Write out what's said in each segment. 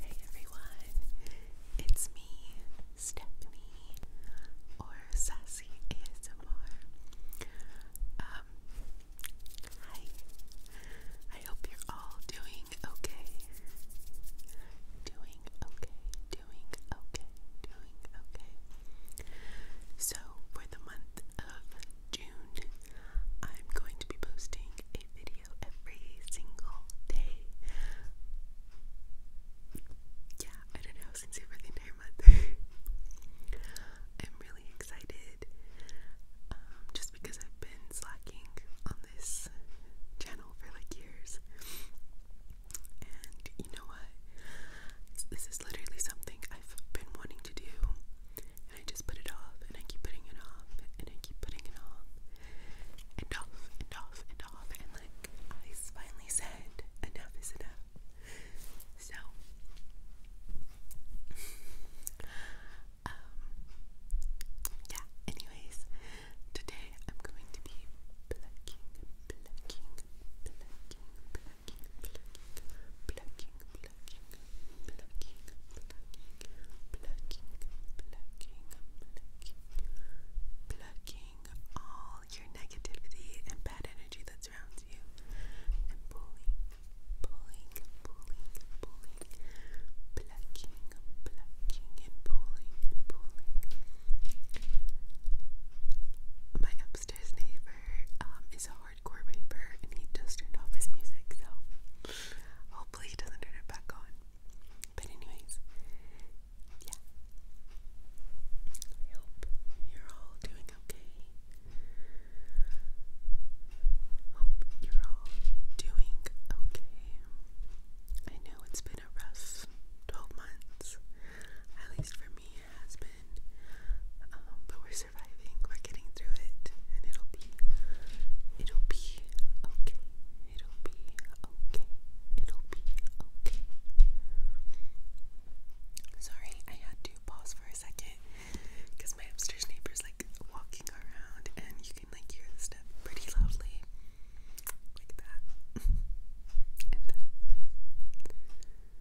Hey everyone, it's me, Stephanie, or Sassy ASMR. Um, hi. I hope you're all doing okay. Doing okay, doing okay, doing okay. So, for the month of June, I'm going to be posting a video every single day. Yeah, I don't know, since the entire month. I'm really excited um, just because I've been slacking on this channel for like years. And you know what? This is literally something I've been wanting to do and I just put it off, and I keep putting it off, and I keep putting it off, and off, and off, and off, and like I finally said, enough is enough. So, um, yeah. Anyways, today I'm going to be plucking, plucking, plucking, plucking, plucking, plucking, plucking, plucking, plucking, plucking, plucking, plucking, plucking all your negativity and bad energy that surrounds you and pulling, pulling, pulling, pulling, plucking, plucking and pulling pulling. My upstairs neighbor um, is a hardcore raver and he just turned off his music, so hopefully he doesn't turn it back on. But anyways, yeah. I hope you're all doing okay. Hope you're all doing okay. I know it's been a rough 12 months, at least for me it has been, um, but we're we're getting through it, and it'll be, it'll be okay. It'll be okay. It'll be okay. Sorry, I had to pause for a second because my upstairs neighbor's like walking around, and you can like hear the step pretty loudly, like that, and that.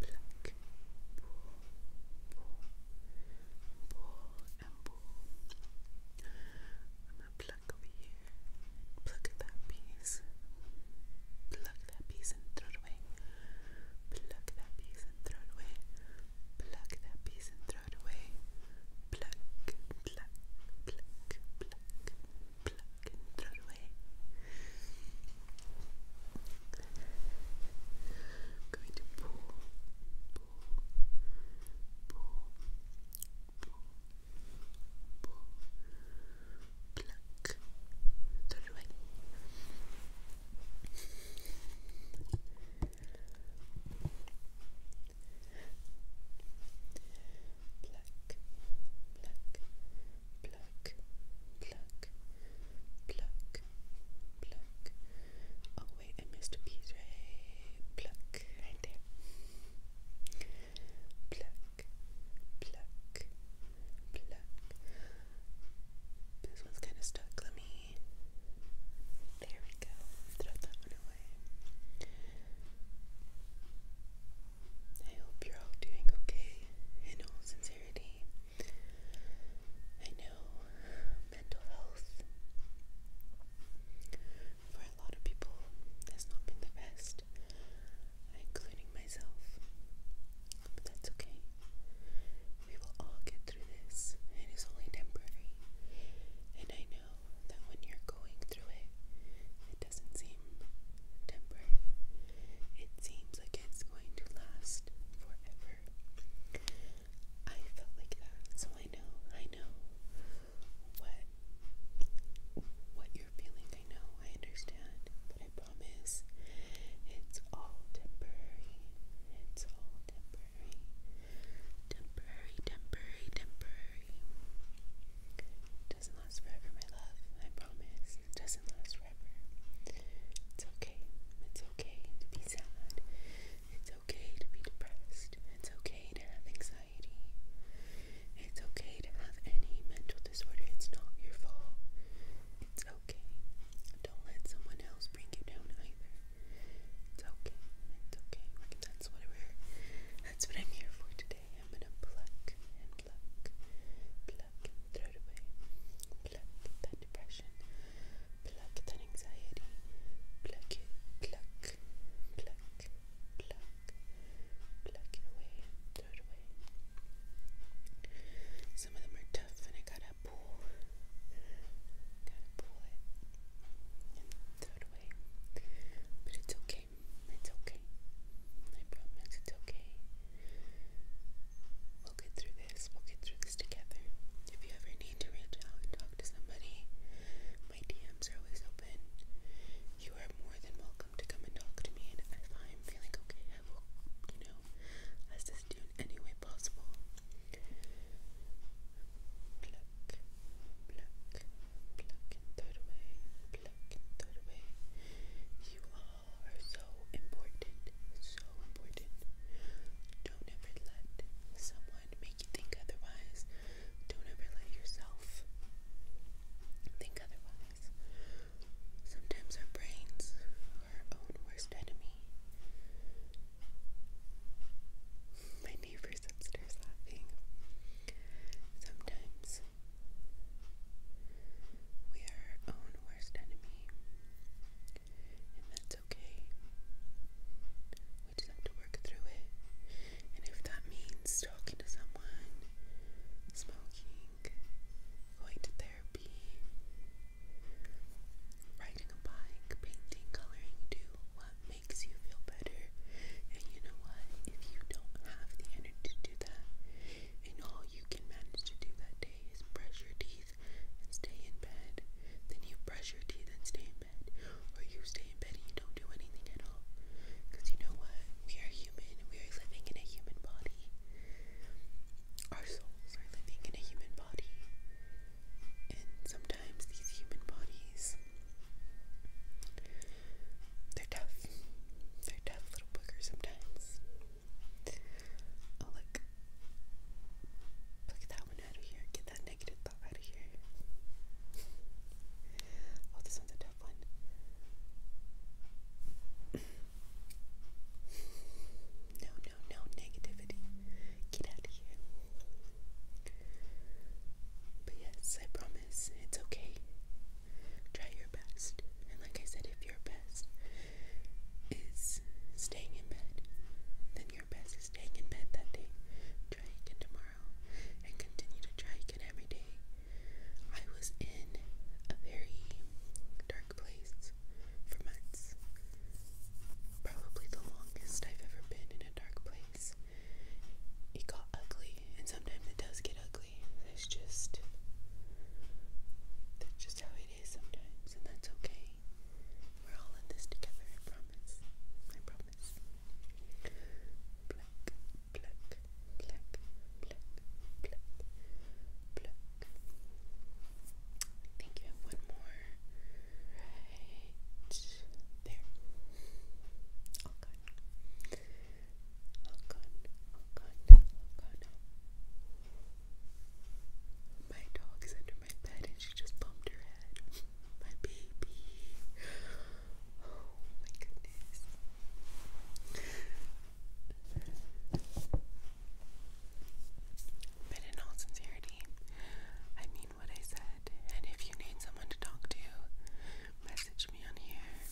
black, bull, bull, and bull. I'm gonna pluck over here, pluck that piece, pluck that piece and throw it away, pluck that piece and throw it away, pluck that piece and throw it away, pluck, pluck, pluck, pluck pluck and throw away. going to pull, pull, pull, pull, pluck, throw away. Black, black, pluck, pluck, pluck, pluck. Oh wait, I missed a piece right. Pluck, right there. Pluck, pluck, pluck. This one's kind of stuck. Let me. There we go. Throw that one away. I hope you're all doing okay in all sincerity. I know mental health for a lot of people has not been the best, including myself. But that's okay. We will all get through this. It is only temporary. And I know that when you're going through it, it doesn't seem temporary. It seems like it's going to last forever. I felt like that, so I know, I know what what you're feeling. I know, I understand, but I promise it's all temporary. It's all temporary. Temporary, temporary, temporary doesn't last forever, my love. I promise. It doesn't last forever. It's okay. It's okay to be sad. It's okay to be depressed. It's okay to have anxiety. It's okay to have any mental disorder. It's not your fault. It's okay. Don't let someone else bring you down either. It's okay. It's okay. That's what that's what I'm here for today. I'm gonna pluck and pluck, pluck throw it away, pluck that depression, pluck that anxiety, pluck it, pluck, pluck, pluck, pluck it away, throw it away. Some of them are tough and I gotta pull, gotta pull it and throw it away, but it's okay. It's okay. I promise it's okay. We'll get through this. We'll get through this together. If you ever need to reach out and talk to somebody, my DMs are always open. You are more than welcome to come and talk to me. And if I'm feeling okay, I will, you know, assist you in any way possible pluck, pluck and throw it away, pluck and throw it You all are so important, so important. Don't ever let someone make you think otherwise. Don't ever let yourself think otherwise. Sometimes our brains are our own worst enemy. My neighbors Sometimes we are our own worst enemy, and that's okay. We just have to work through it. And if that means talking to someone, smoking, going to therapy, riding a bike, painting, coloring, do what makes you feel better. And you know what? If you don't have the energy to do that, and all you can manage to do that day is brush your teeth and stay in bed, then you brush your teeth and stay in bed, or you stay in bed and you don't do anything at all. you know what? We are human, we are living in a human body. Our souls are living in a human body. And sometimes sometimes these human bodies they're tough. They're tough little boogers sometimes. Oh look. Look at that one out of here. Get that negative thought out of here. Oh, this one's a tough one. No, no, no, negativity. Get out of here. But yes, I promise it's okay. Try your best. And like I said, if your best is staying in bed, then your best is staying in bed that day. Try again tomorrow and continue to try again every day. I was in a very dark place for months. Probably the longest I've ever been in a dark place because it got ugly, and sometimes it does get ugly. That's just that's just how it is sometimes, and that's okay. We're all in this together. I promise. I promise. Black, black, black, black, black, black. I think you have one more. Right. My dog is under my bed and she just bumped her head. My baby. Oh my goodness. But in all sincerity, I mean, what I said, and if you need someone to talk to, message me on here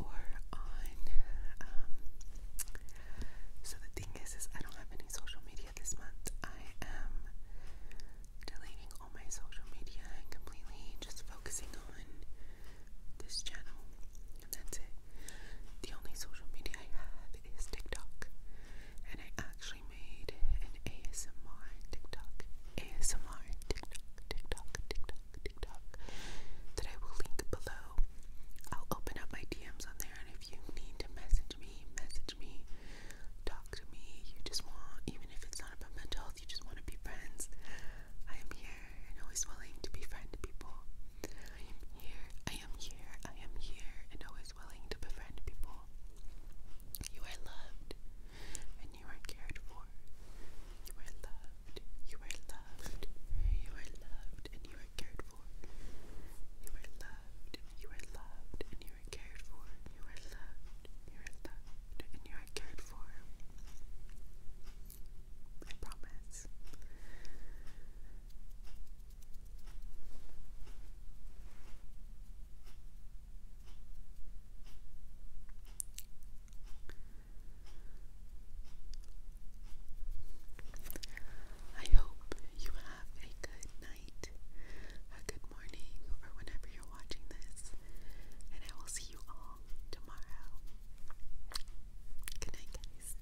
or on. Um, so the thing is, is I don't have any social media this month. I am deleting all my social media completely just focusing on this channel, and that's it. The only social media I have is TikTok and I actually made an ASMR TikTok, ASMR TikTok, TikTok, TikTok, TikTok that I will link below. I'll open up my DMs on there, and if you need to message me, message me, talk to me. You just want, even if it's not about mental health, you just want to be friends. I am here and always willing to befriend people. I am here, I am here, I am here, and always willing to befriend people. You are loved and you are cared for. You are loved, you are loved, you are loved and you are cared for. You are loved, you are loved and you are cared for. You are loved, you are loved and you are cared for. I promise. I hope you have a good night, a good morning, or whenever you're watching this, and I will see you all tomorrow. Good night, guys.